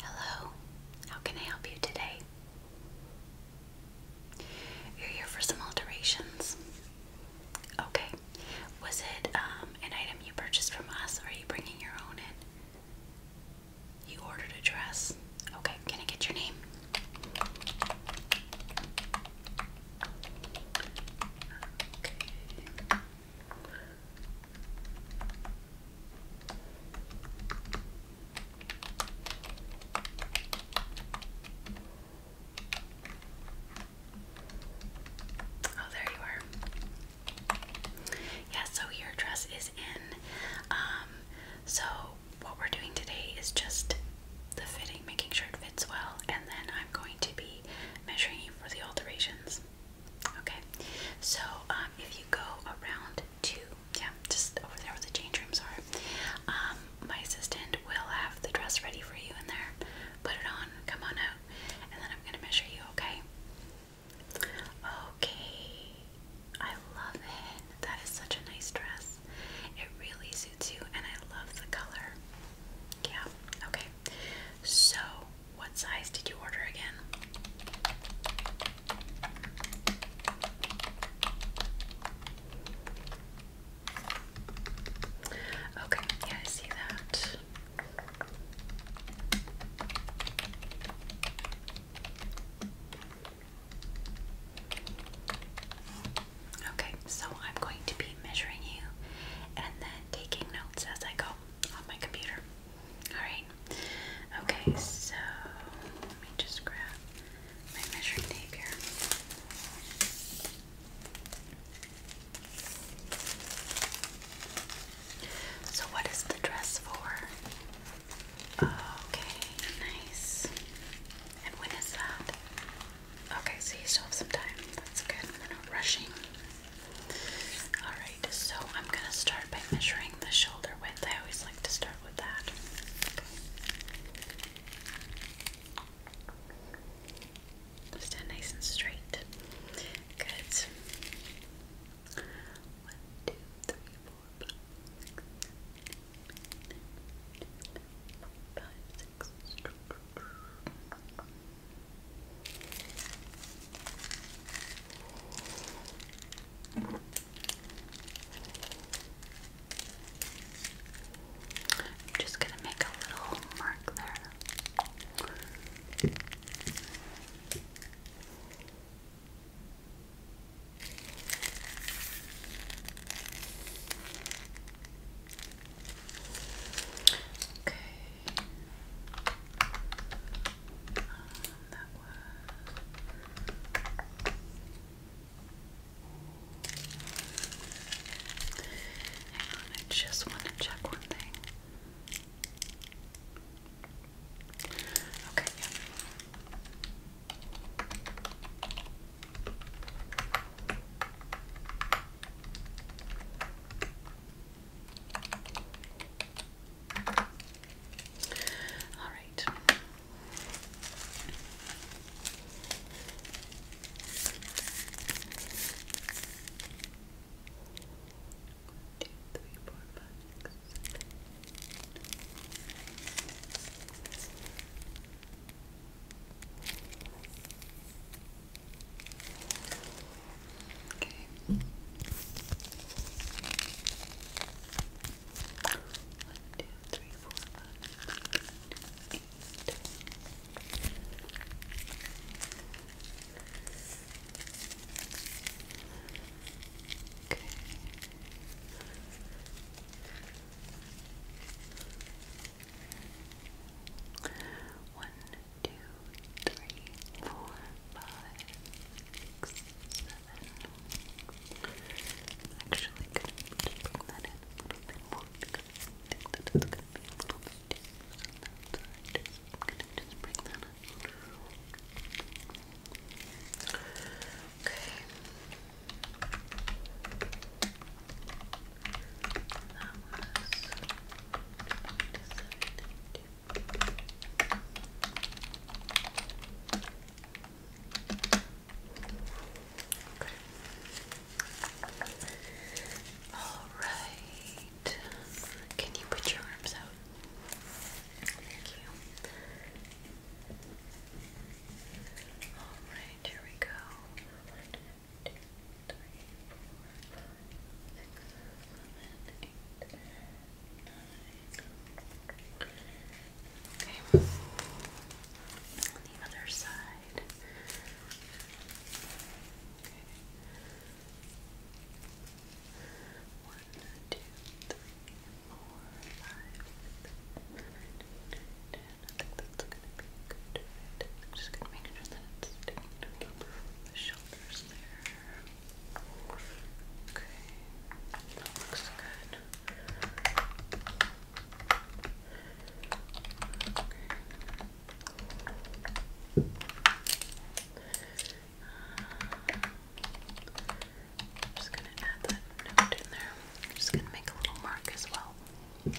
Hello, how can I help you today? You're here for some alterations. Okay, was it um, an item you purchased from us, or are you bringing your own in? You ordered a dress. Okay, can I get your name? Oh, there you are. Yeah, so your dress is in. Um, so what we're doing today is just the fitting, making sure it fits well, and then I'm going to be measuring you for the alterations. Okay, so um, if you go around to, yeah, just over there where the change rooms are, um, my assistant will have the dress ready for you in there. Put it on, come on out, and then I'm gonna measure you, okay? Okay, I love it. That is such a nice dress. It really suits you, and I love the color. Yeah, okay. So, what size did you order again? Okay, yeah, I see that. Okay, so I'm going to be measuring you and then taking notes as I go on my computer. Alright. Okay, so let me just grab my measuring tape here. So, what is the dress for? Okay, nice. And when is that? Okay, so you still have some time. That's good. we rushing. Alright, so I'm going to start by measuring the shoulder width. I always like to start with that. Stand nice and straight. Good. One, two, three, four, five, six, seven, eight, nine, ten, I'm just going to make a little mark there. Okay. Um, was. Hang on, I just want to check one thing. Okay, yeah. All right. One, two, three, four, five, six, seven. Okay. One, two, three, four, five, eight. Okay. One, two, three, four, five, six, seven, Actually, could just bring that in a little bit more because it's gonna be a little bit too I'm gonna just bring that in. Okay. All right. Can you put your arms out? Thank you. All right, here we go. One, two, three, four, five, six, seven, eight. Okay. On the other side. Okay. One, two, three, four, five, six, seven, eight, nine, ten. I think that's gonna be good. I'm just gonna make sure that it's taken over the shoulders there. Okay, that I'm just gonna add that note in there. I'm just gonna make a little mark as well. Okay.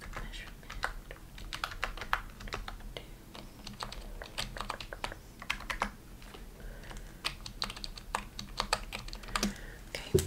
the measurement. Okay. Okay.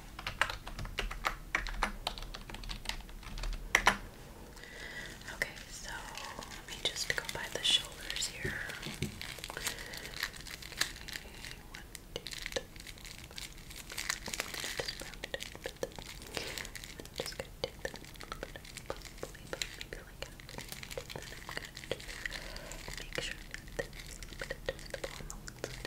Okay, so let me just go by the shoulders here. two, three. I'm just gonna take that probably, maybe like halfway. just make sure that this is a bit the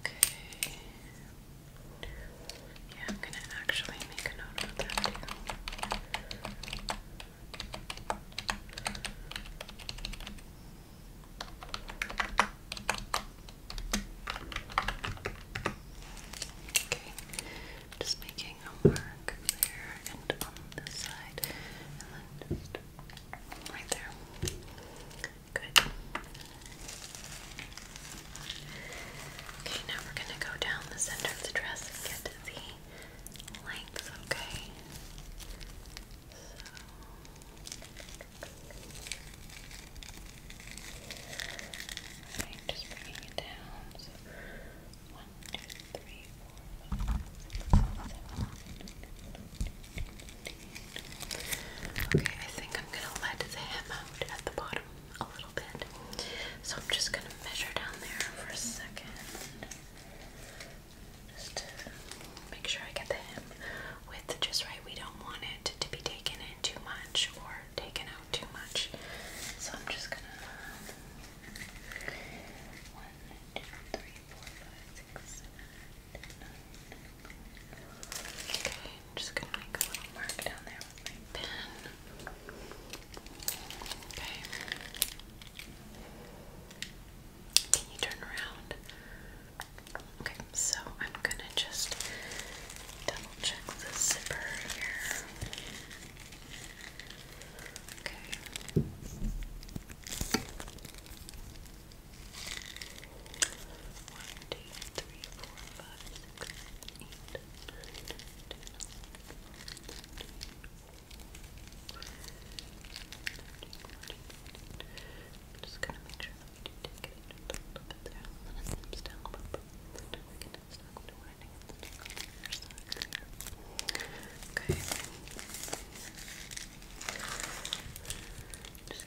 Okay. Yeah, I'm gonna actually make a note of that too. Okay. Just making a mark there and on this side, and then just right there. Good. Okay, now we're going to go down the center of the dress and get the length, okay? So. Okay, just bringing it down. So, Okay, I think I'm gonna let the hem out at the bottom a little bit. So I'm just gonna measure down there for a second. Just to make sure I get the hem width just right. We don't want it to be taken in too much or taken out too much. So I'm just gonna um, one, two, three, four, Okay, I'm just gonna make a little mark down there with my pen. Okay. Can you turn around? Okay, so I'm gonna just double check the zipper here. Okay. One, two, three, four, five, six, just gonna make sure that we do it just a little bit there. I'm gonna down Okay. Just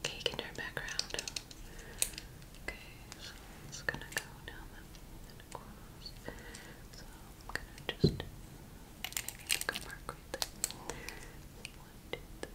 Okay, you can turn back Okay, so it's gonna go down and across. So I'm gonna just mark right there. One, two, three.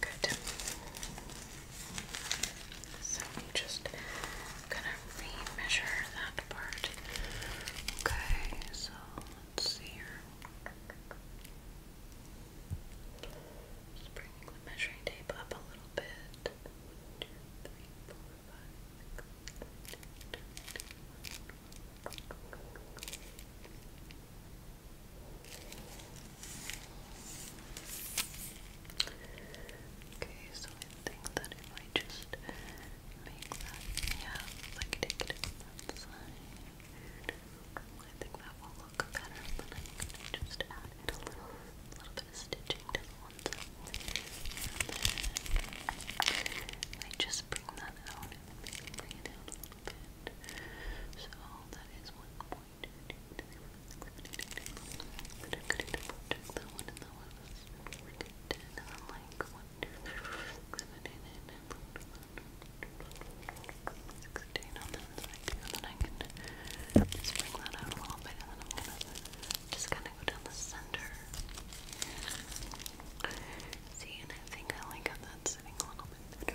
Good. So I'm just gonna re-measure that part. Okay, so let's see here. Just bringing the measuring tape up a little bit. One, two, three, four, five, six, seven, eight, nine, ten, eleven, twelve, Okay, so I think that if I just make that, yeah, like take it on I think that will look better. But I'm gonna just add a little, little bit of stitching to the ones and I just bring that out and bring it out a little bit. So that is one point. But one and that one was working like one, two, exhibiting it and just bring that out a little bit and then I'm gonna just kind of go down the center. See, and I think I like how that's sitting a little bit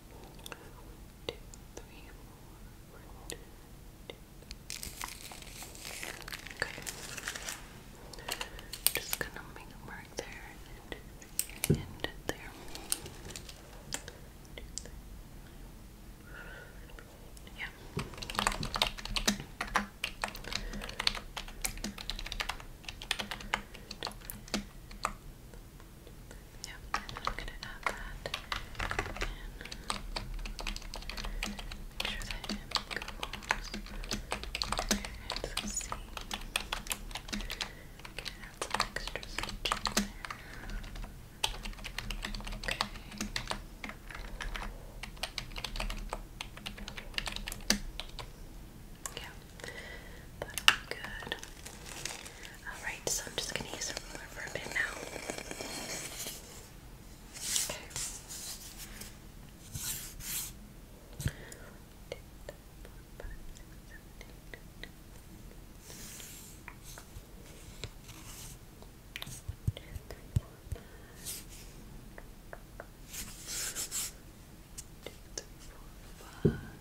two, three, four, one, two, Okay. Just gonna make it mark there and end it there. Yeah. Okay. Yep, and I'm add that Make sure that M goes there, and C. I'm gonna some extra stitches Yeah, that'll be good. Alright, so I'm just going to use a ruler for a bit now. Okay. One, two, three, four, five.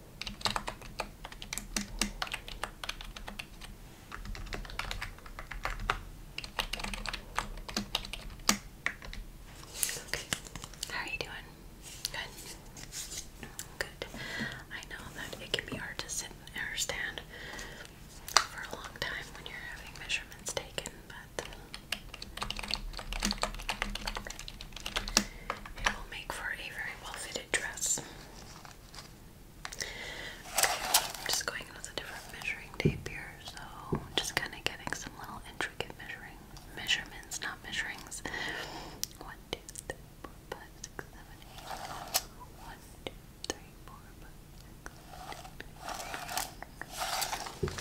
Okay, how are you doing? Good. Good. I know that it can be hard to sit and understand for a long time when you're having measurements taken, but it will make for a very well fitted dress. I'm just going with a different measuring tape here, so just kind of getting some little intricate measuring measurements, not measurings. One, two, three, four, five, six, seven, eight. One, two, three, four, five, six, seven, eight.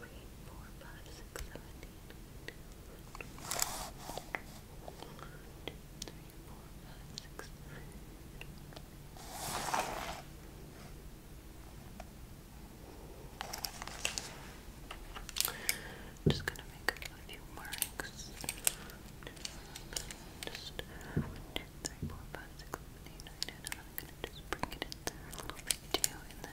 three, four, five, six, seven, eight, two, one, two, three, just gonna make a few marks. Just one, two, three, four, five, six, seven, eight, nine, ten. I'm gonna just bring it in there a little bit too, and then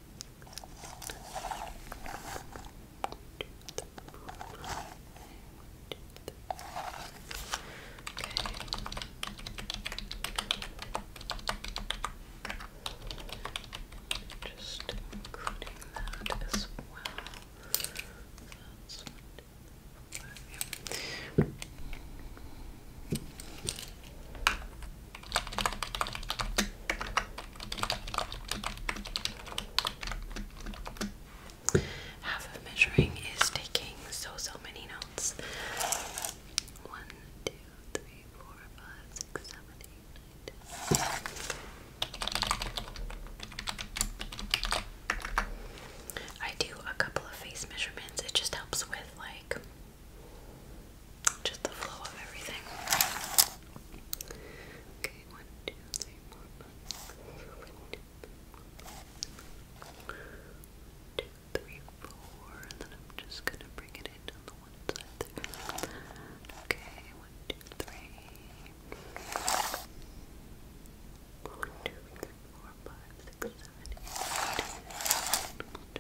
Just including that as well. That's Okay. Half of measuring is taking so so many notes. One, two, three, four, five, six, seven, eight, nine, ten. I do a couple of face measurements. It just helps with like just the flow of everything. Okay, one, two, three, four, five. and then I'm just gonna bring it in the one side there. Okay, one, two, three. One, two, three, four, five, six, seven, eight, nine,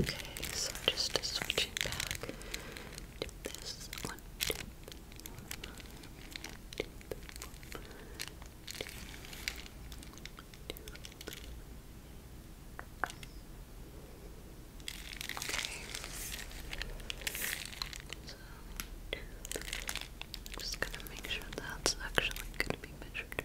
Okay, so just switching back. Do this one, two, one, two, one, two, two, Okay. So I'm just gonna make sure that's actually gonna be measured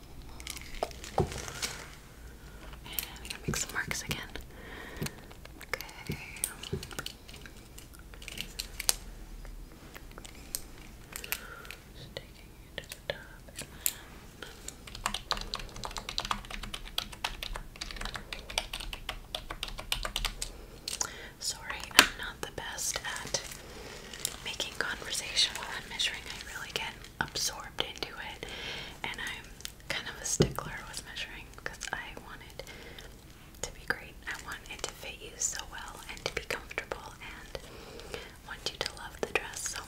I'm gonna make some marks again. Okay. Just it to the top Sorry, I'm not the best at making conversation while I'm measuring. I really get absorbed into it. And I'm kind of a stickler with measuring because I wanted it to be great. I want to fit you so well and to be comfortable and want you to love the dress. So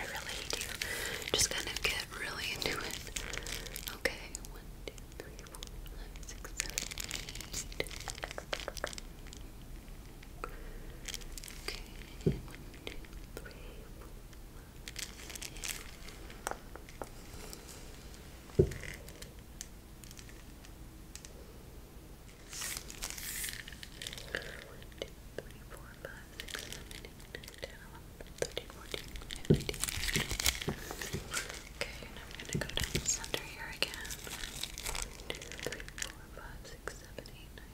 I really do just kind of get really into it. Okay, one, two, three, four, five, six, seven, eight. Okay, one, two, three, four, five. One, two, three, four, five, six, seven, eight, nine, ten, eleven, thirteen, fourteen, fifteen. Okay, now I'm gonna go down the center here again. One, two, three, four, five, six, seven, eight, nine.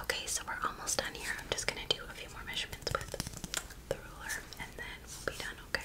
Okay, so we're almost done here. I'm just gonna do a few more measurements with the ruler and then we'll be done, okay?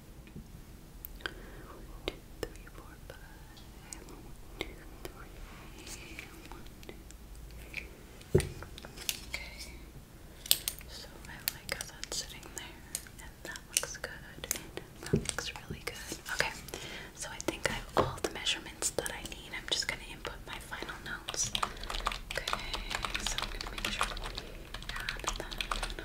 One, two, three, four, five. One, two, Okay. So I like how that's sitting there, and that looks good, that looks really good. Okay. So I think I have all the measurements that I need. I'm just gonna input my final notes. Okay. So I'm gonna make sure. Add that on the muscle.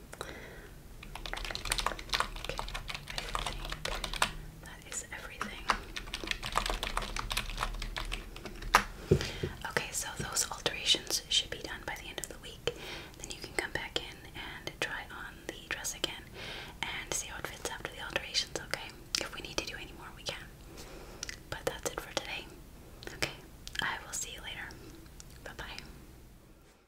Okay, so those alterations should be done by the end of the week. Then you can come back in and try on the dress again and see how it fits after the alterations, okay? If we need to do any more, we can. But that's it for today. Okay, I will see you later. Bye bye.